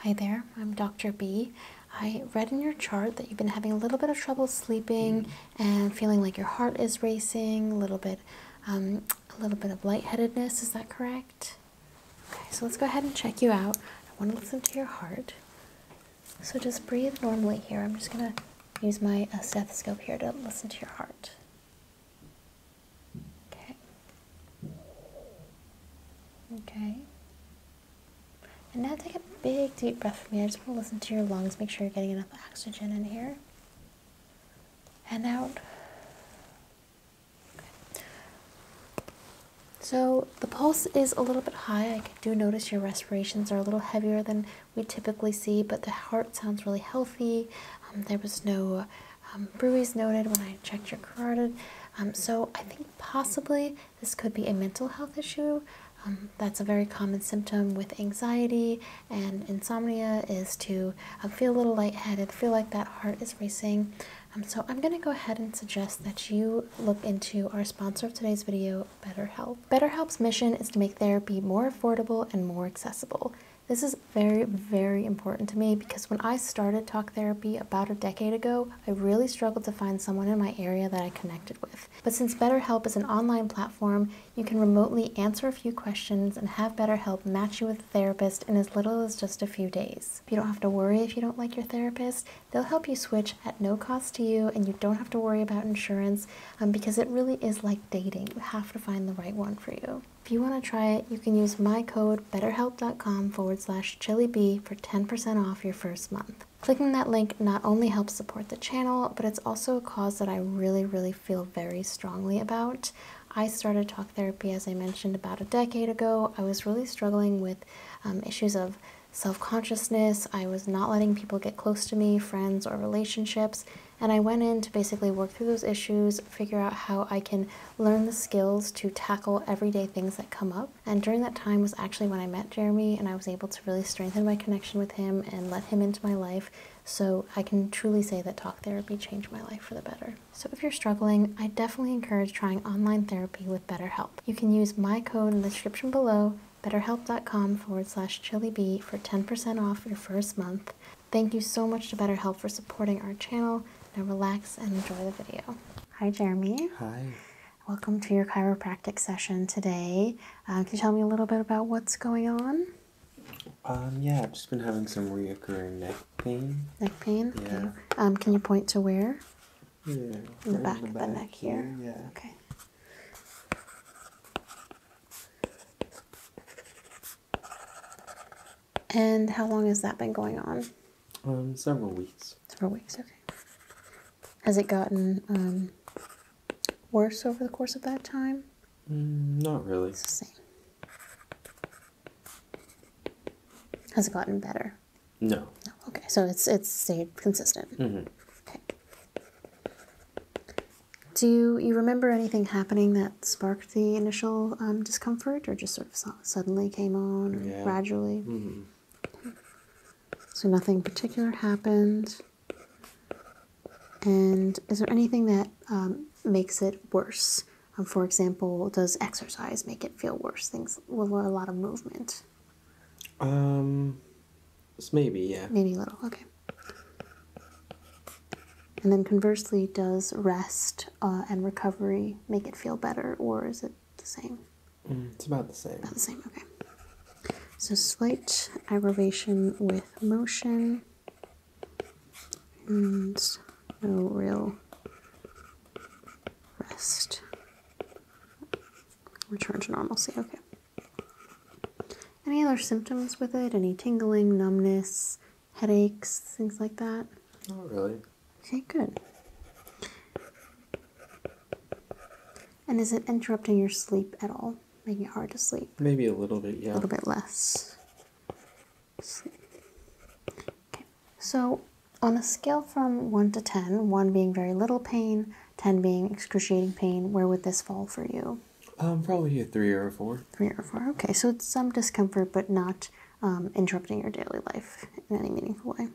Hi there, I'm Dr. B. I read in your chart that you've been having a little bit of trouble sleeping mm-hmm. and feeling like your heart is racing, a little bit, um, a little bit of lightheadedness. Is that correct? Okay, so let's go ahead and check you out. I want to listen to your heart. So just breathe normally here. I'm just gonna use my uh, stethoscope here to listen to your heart. Okay. Okay. And now take a big deep breath for me. I just want to listen to your lungs, make sure you're getting enough oxygen in here. And out. Okay. So the pulse is a little bit high. I do notice your respirations are a little heavier than we typically see, but the heart sounds really healthy. Um, there was no um, noted when I checked your carotid. Um, so I think possibly this could be a mental health issue. Um, that's a very common symptom with anxiety and insomnia is to feel a little lightheaded, feel like that heart is racing. so I'm going to go ahead and suggest that you look into our sponsor of today's video, BetterHelp. BetterHelp's mission is to make therapy more affordable and more accessible. This is very, very important to me because when I started talk therapy about a decade ago, I really struggled to find someone in my area that I connected with. But since BetterHelp is an online platform, you can remotely answer a few questions and have BetterHelp match you with a therapist in as little as just a few days. You don't have to worry if you don't like your therapist. They'll help you switch at no cost to you, and you don't have to worry about insurance um, because it really is like dating, you have to find the right one for you. If you want to try it, you can use my code betterhelp.com forward slash chillybee for 10% off your first month. Clicking that link not only helps support the channel, but it's also a cause that I really, really feel very strongly about. I started talk therapy, as I mentioned, about a decade ago. I was really struggling with um, issues of self consciousness, I was not letting people get close to me, friends, or relationships. And I went in to basically work through those issues, figure out how I can learn the skills to tackle everyday things that come up. And during that time was actually when I met Jeremy and I was able to really strengthen my connection with him and let him into my life. So I can truly say that talk therapy changed my life for the better. So if you're struggling, I definitely encourage trying online therapy with BetterHelp. You can use my code in the description below betterhelp.com forward slash chilibee for 10% off your first month. Thank you so much to BetterHelp for supporting our channel. Now relax and enjoy the video. Hi, Jeremy. Hi. Welcome to your chiropractic session today. Um, can you tell me a little bit about what's going on? Um, yeah, I've just been having some reoccurring neck pain. Neck pain? Yeah. Um, can you point to where? Yeah. In the back, of the neck here? here. Yeah. Okay. And how long has that been going on? Um, several weeks. Several weeks, okay. Has it gotten um, worse over the course of that time? Mm, not really. It's the same. Has it gotten better? No. No. Okay, so it's it's stayed consistent. Mm -hmm. Okay. Do you remember anything happening that sparked the initial um, discomfort, or just sort of suddenly came on, or gradually? Mm-hmm. So nothing particular happened. And is there anything that um, makes it worse? Um, for example, does exercise make it feel worse? Things with a lot of movement. Um, it's maybe, yeah. Maybe a little, okay. And then conversely, does rest uh, and recovery make it feel better, or is it the same? Mm, it's about the same. About the same, okay. So slight aggravation with motion, and no real rest. Return to normalcy, okay. Any other symptoms with it? Any tingling, numbness, headaches, things like that? Not really. Okay, good. And is it interrupting your sleep at all? Making it hard to sleep? Maybe a little bit, yeah. A little bit less. Okay. So, on a scale from 1 to 10, 1 being very little pain, 10 being excruciating pain, where would this fall for you? Um, probably a three or a four. Three or four. Okay, so it's some discomfort, but not um, interrupting your daily life in any meaningful way.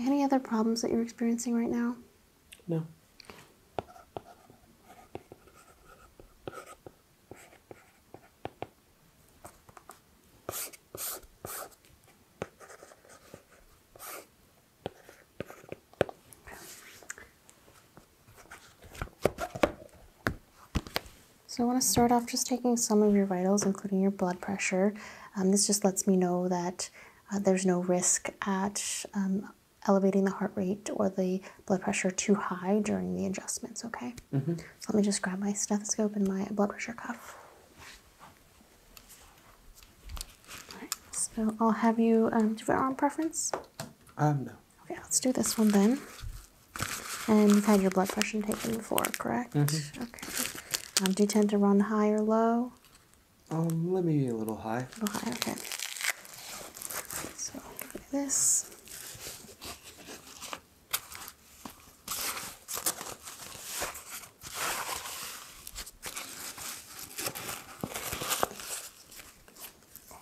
Any other problems that you're experiencing right now? No. So I want to start off just taking some of your vitals, including your blood pressure. Um, this just lets me know that uh, there's no risk at um, elevating the heart rate or the blood pressure too high during the adjustments, okay? Mm-hmm. So let me just grab my stethoscope and my blood pressure cuff. Alright, so I'll have you um, do you have arm preference? Um, no. Okay, let's do this one then. And you've had your blood pressure taken before, correct? Mm-hmm. Okay. Um, do you tend to run high or low? Um, let me be a little high. A little high, okay. So I'll give this.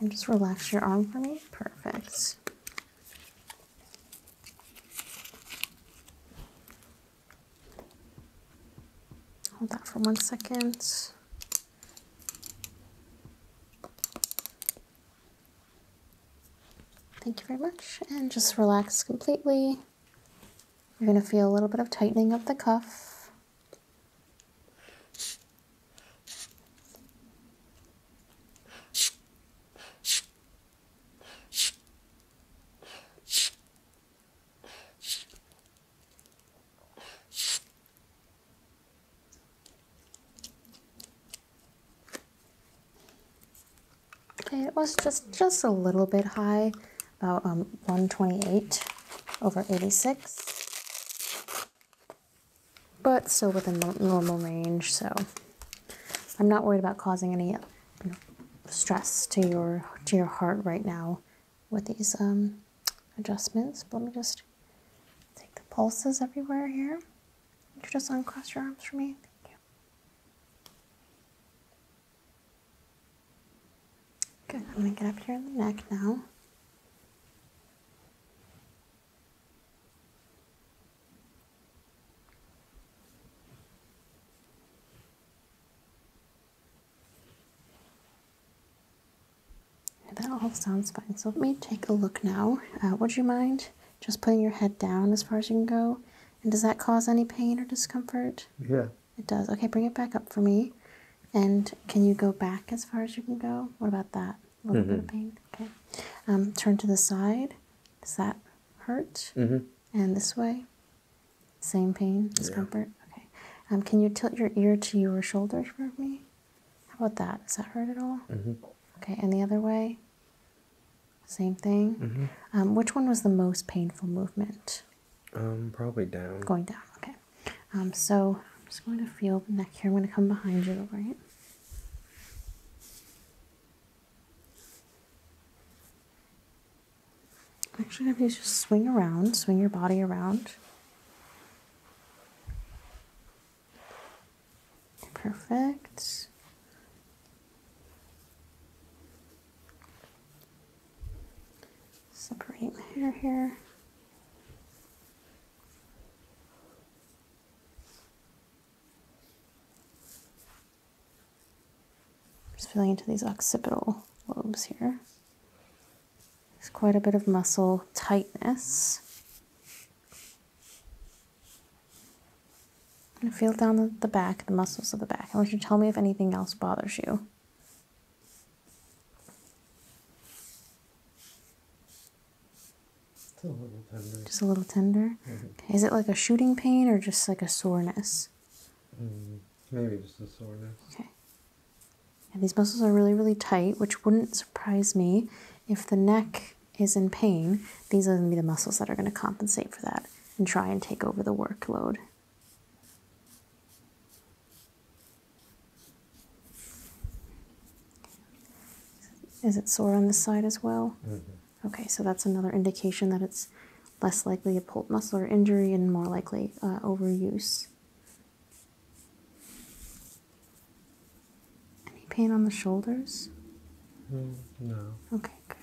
And just relax your arm for me. Perfect. Hold that for one second. Thank you very much. And just relax completely. You're going to feel a little bit of tightening of the cuff. Okay, it was just, just a little bit high, about um, 128 over 86, but still within normal range, so I'm not worried about causing any stress to your, to your heart right now with these um, adjustments. But let me just take the pulses everywhere here. Could you just uncross your arms for me? Thank Good. I'm going to get up here in the neck now. That all sounds fine. So let me take a look now. Uh, would you mind just putting your head down as far as you can go? And does that cause any pain or discomfort? Yeah. It does. Okay, bring it back up for me. And can you go back as far as you can go? What about that? A little bit of mm-hmm. pain. Okay. Um, turn to the side. Does that hurt? Mm-hmm. And this way? Same pain, discomfort? Okay. Um, can you tilt your ear to your shoulder for me? How about that? Does that hurt at all? Mm-hmm. Okay, and the other way? Same thing. Mm-hmm. Um, which one was the most painful movement? Um, probably down. Going down. Okay. Um, so I'm just going to feel the neck here. I'm going to come behind you, right? Actually, if to just swing around, swing your body around. Perfect. Separate my hair here. Just feeling into these occipital lobes here. There's quite a bit of muscle tightness i feel down the back, the muscles of the back. I want you to tell me if anything else bothers you. just a little tender. Mm-hmm. Is it like a shooting pain or just like a soreness? Mm, maybe just a soreness. Okay. And these muscles are really, really tight, which wouldn't surprise me if the neck is in pain, these are going to be the muscles that are going to compensate for that and try and take over the workload. Is it sore on this side as well? Mm-hmm. Okay, so that's another indication that it's less likely a pulled muscle or injury and more likely uh, overuse. Any pain on the shoulders? Mm, no. Okay, good.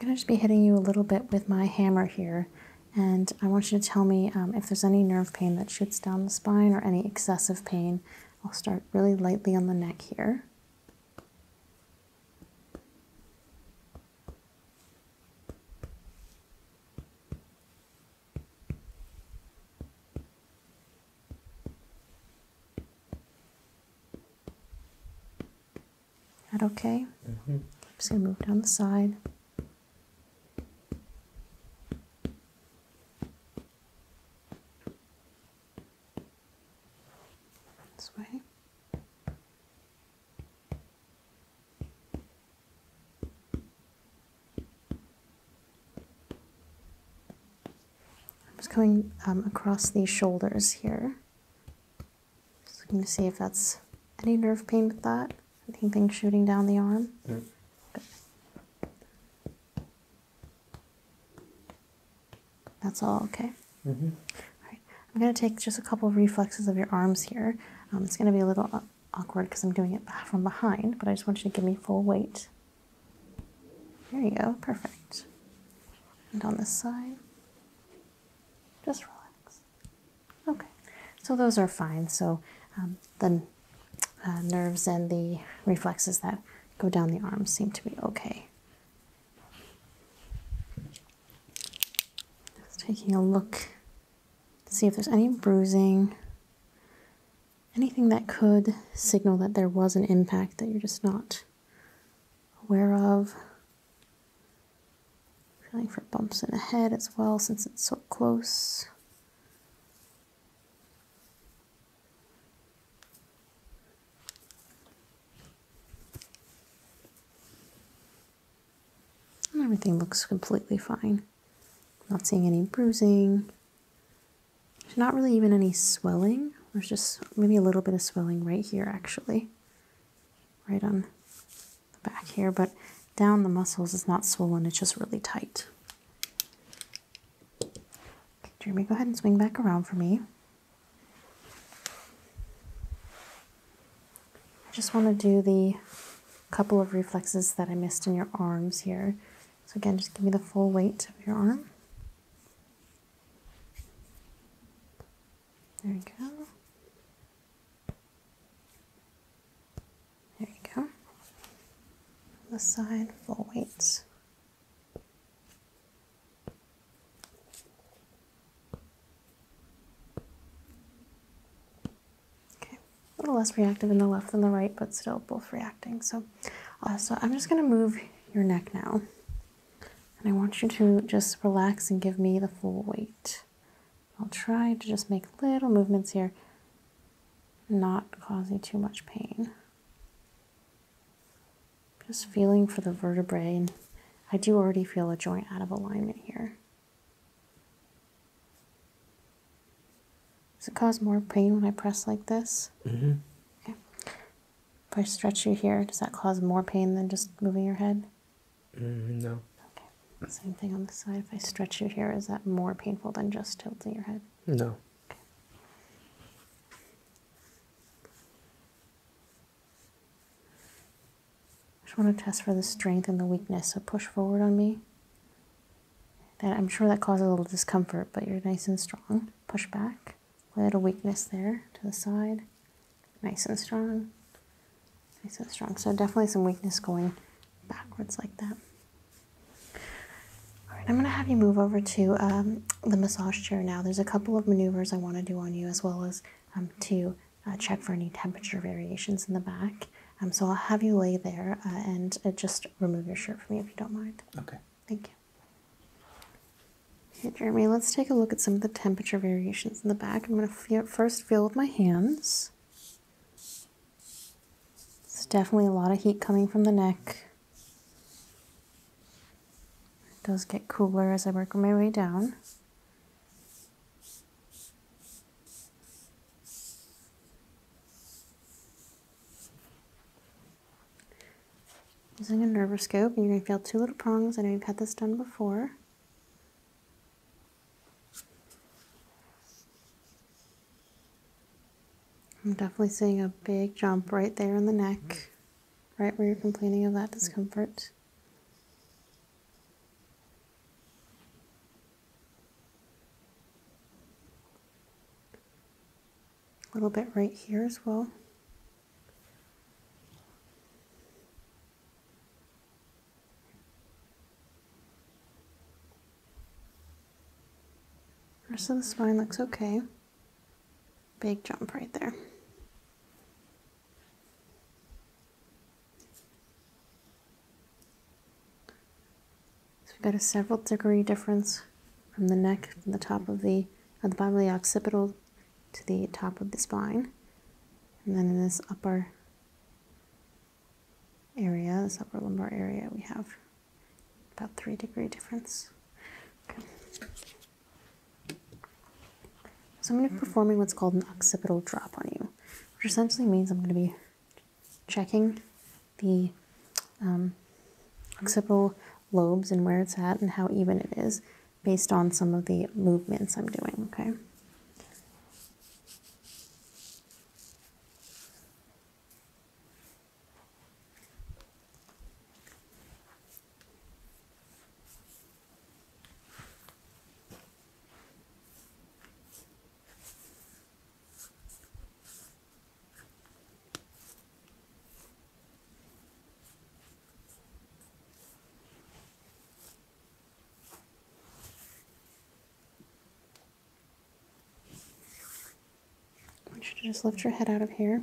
I'm going to just be hitting you a little bit with my hammer here. And I want you to tell me um, if there's any nerve pain that shoots down the spine or any excessive pain. I'll start really lightly on the neck here. That okay? Mm-hmm. I'm just gonna move down the side. This way. I'm just coming um, across these shoulders here. Let me see if that's any nerve pain with that. Anything shooting down the arm? No. Good. That's all okay. Mm -hmm. All right. I'm going to take just a couple reflexes of your arms here. Um, it's going to be a little uh, awkward because I'm doing it from behind, but I just want you to give me full weight. There you go, perfect. And on this side, just relax. Okay, so those are fine. So um, the uh, nerves and the reflexes that go down the arms seem to be okay. Just taking a look see if there's any bruising, anything that could signal that there was an impact that you're just not aware of. Feeling for bumps in the head as well since it's so close everything looks completely fine. Not seeing any bruising. not really even any swelling. There's just maybe a little bit of swelling right here, actually. Right on the back here, but down the muscles is not swollen, it's just really tight. Okay, Jeremy, go ahead and swing back around for me. I just want to do the couple of reflexes that I missed in your arms here. So again, just give me the full weight of your arm. There we go. There we go. The side, full weight. Okay, a little less reactive in the left than the right, but still both reacting. So, uh, so I'm just going to move your neck now. And I want you to just relax and give me the full weight. I'll try to just make little movements here, not causing too much pain. Just feeling for the vertebrae, I do already feel a joint out of alignment here. Does it cause more pain when I press like this? Mm-hmm. If I stretch you here, does that cause more pain than just moving your head? Mm-hmm, no. Okay. Same thing on the side. If I stretch you here, is that more painful than just tilting your head? No. I just want to test for the strength and the weakness. So push forward on me. I'm sure that causes a little discomfort, but you're nice and strong. Push back. A little weakness there to the side. Nice and strong. Nice and strong. So definitely some weakness going backwards like that. All right, I'm going to have you move over to um, the massage chair now. There's a couple of maneuvers I want to do on you as well as um, to uh, check for any temperature variations in the back. Um, so I'll have you lay there uh, and uh, just remove your shirt for me if you don't mind. Okay. Thank you. Okay, Jeremy, let's take a look at some of the temperature variations in the back. I'm going to first feel with my hands. It's definitely a lot of heat coming from the neck. It does get cooler as I work my way down. Using a nervoscope, and you're going to feel two little prongs. I know you've had this done before. I'm definitely seeing a big jump right there in the neck, right where you're complaining of that discomfort. A little bit right here as well. rest of the spine looks okay. Big jump right there. So we've got a several degree difference from the neck, from the top of the, of the bottom of the occipital to the top of the spine. And then in this upper area, this upper lumbar area, we have about three degree difference. Okay. So I'm going to be hmm. performing what's called an occipital drop on you which essentially means I'm going to be checking the um, occipital lobes and where it's at and how even it is based on some of the movements I'm doing, okay? I want you to just lift your head out of here,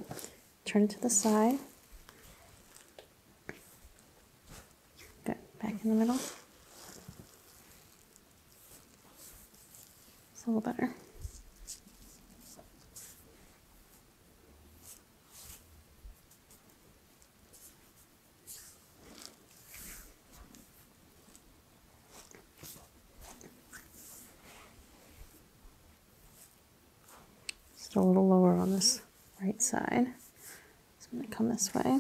turn it to the side. Good. Back in the middle. It's a little better. Just a little lower on this right side. I'm going to come this way.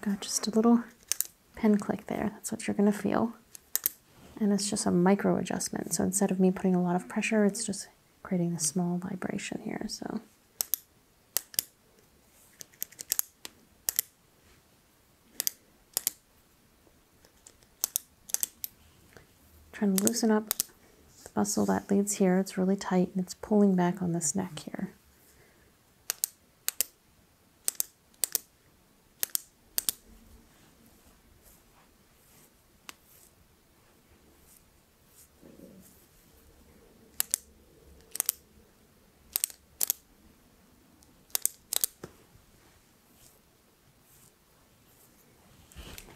Got just a little pen click there. That's what you're going to feel. And it's just a micro adjustment. So instead of me putting a lot of pressure, it's just creating a small vibration here. So. Trying to loosen up the muscle that leads here. It's really tight and it's pulling back on this neck here.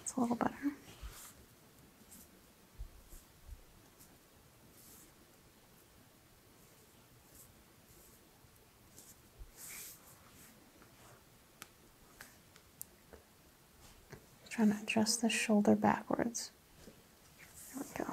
It's a little better. Trying to adjust the shoulder backwards. There we go.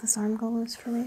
this arm go loose for me.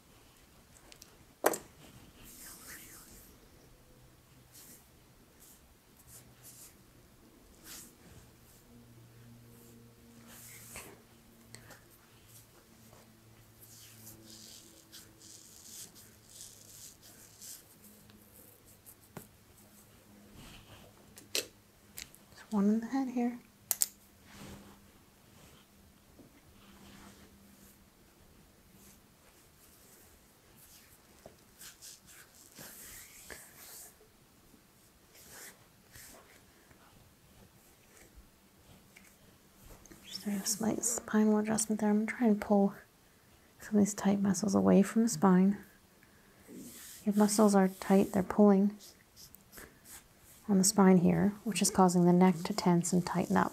There's one in the head here. Just a slight spinal adjustment there. I'm going to try and pull some of these tight muscles away from the spine. Your muscles are tight, they're pulling on the spine here, which is causing the neck to tense and tighten up.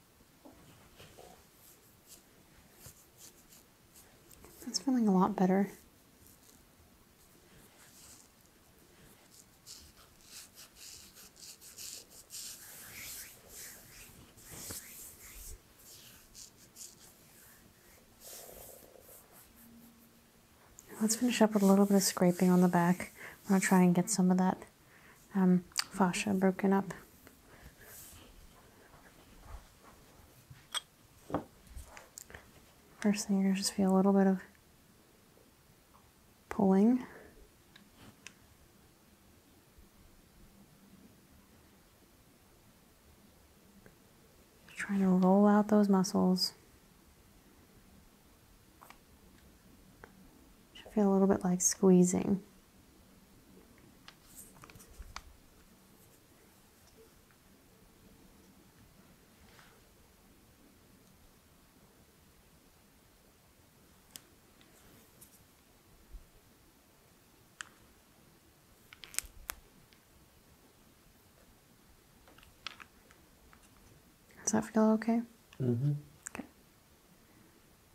That's feeling a lot better. Let's finish up with a little bit of scraping on the back. I'm going to try and get some of that um, fascia broken up. First thing, you are gonna just feel a little bit of pulling. Trying to roll out those muscles. Should feel a little bit like squeezing. Does that feel okay? Mm-hmm. Okay.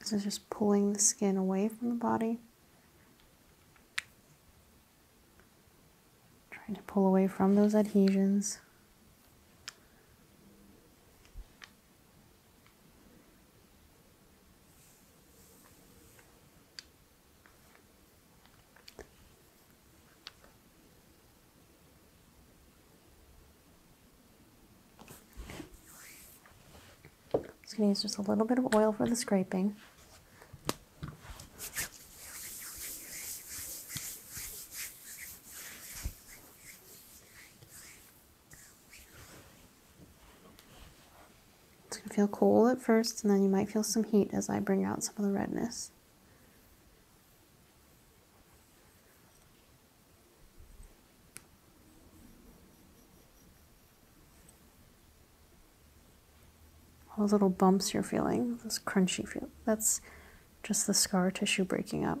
This is just pulling the skin away from the body. Trying to pull away from those adhesions. I'm just going to use just a little bit of oil for the scraping. It's going to feel cold at first, and then you might feel some heat as I bring out some of the redness. All those little bumps you're feeling, this crunchy feel, that's just the scar tissue breaking up.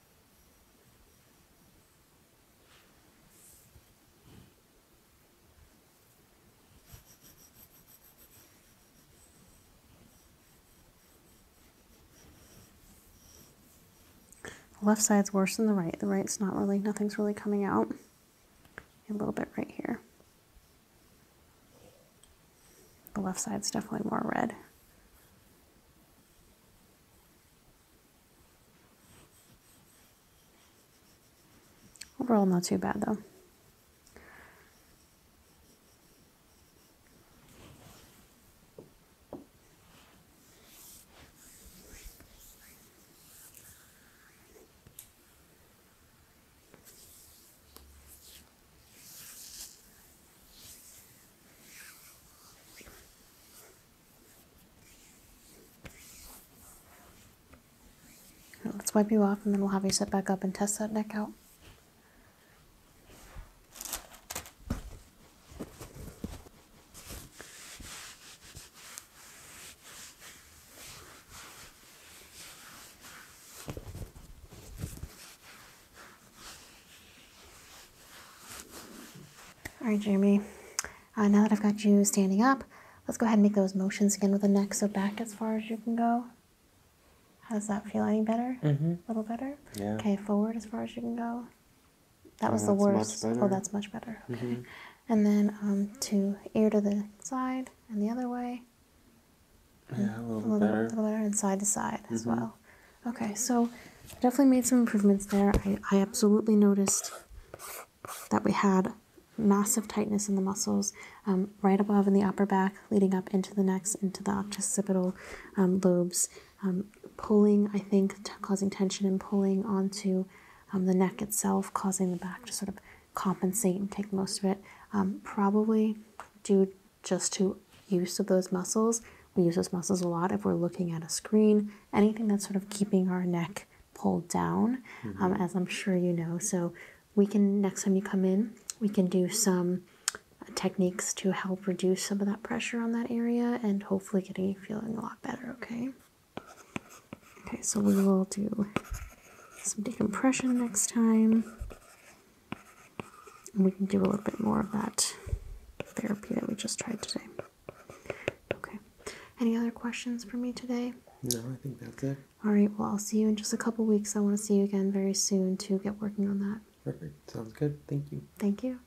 The left side's worse than the right. The right's not really, nothing's really coming out. A little bit right here. The left side's definitely more red. Overall, not too bad though. Let's wipe you off and then we'll have you sit back up and test that neck out. All right, Jeremy, uh, now that I've got you standing up, let's go ahead and make those motions again with the neck. So back as far as you can go. How does that feel? Any better? Mm-hmm. A little better? Yeah. Okay, forward as far as you can go. That was the worst. Oh, that's much better. Okay. Mm-hmm. And then um, to ear to the side and the other way. Yeah, a little, better. A little better, and side to side as mm-hmm. well. Okay, so definitely made some improvements there. I, I absolutely noticed that we had massive tightness in the muscles um, right above in the upper back, leading up into the neck, into the occipital um, lobes, um, pulling, I think, causing tension and pulling onto the neck itself, causing the back to sort of compensate and take most of it. probably due just to use of those muscles. We use those muscles a lot if we're looking at a screen, anything that's sort of keeping our neck pulled down, mm-hmm. um, as I'm sure you know. So, we can, next time you come in, we can do some uh, techniques to help reduce some of that pressure on that area and hopefully getting you feeling a lot better, okay? Okay, so we will do some decompression next time. And we can do a little bit more of that therapy that we just tried today. Okay. Any other questions for me today? No, I think that's it. All right. Well, I'll see you in just a couple weeks. I want to see you again very soon to get working on that. Perfect. Sounds good. Thank you. Thank you.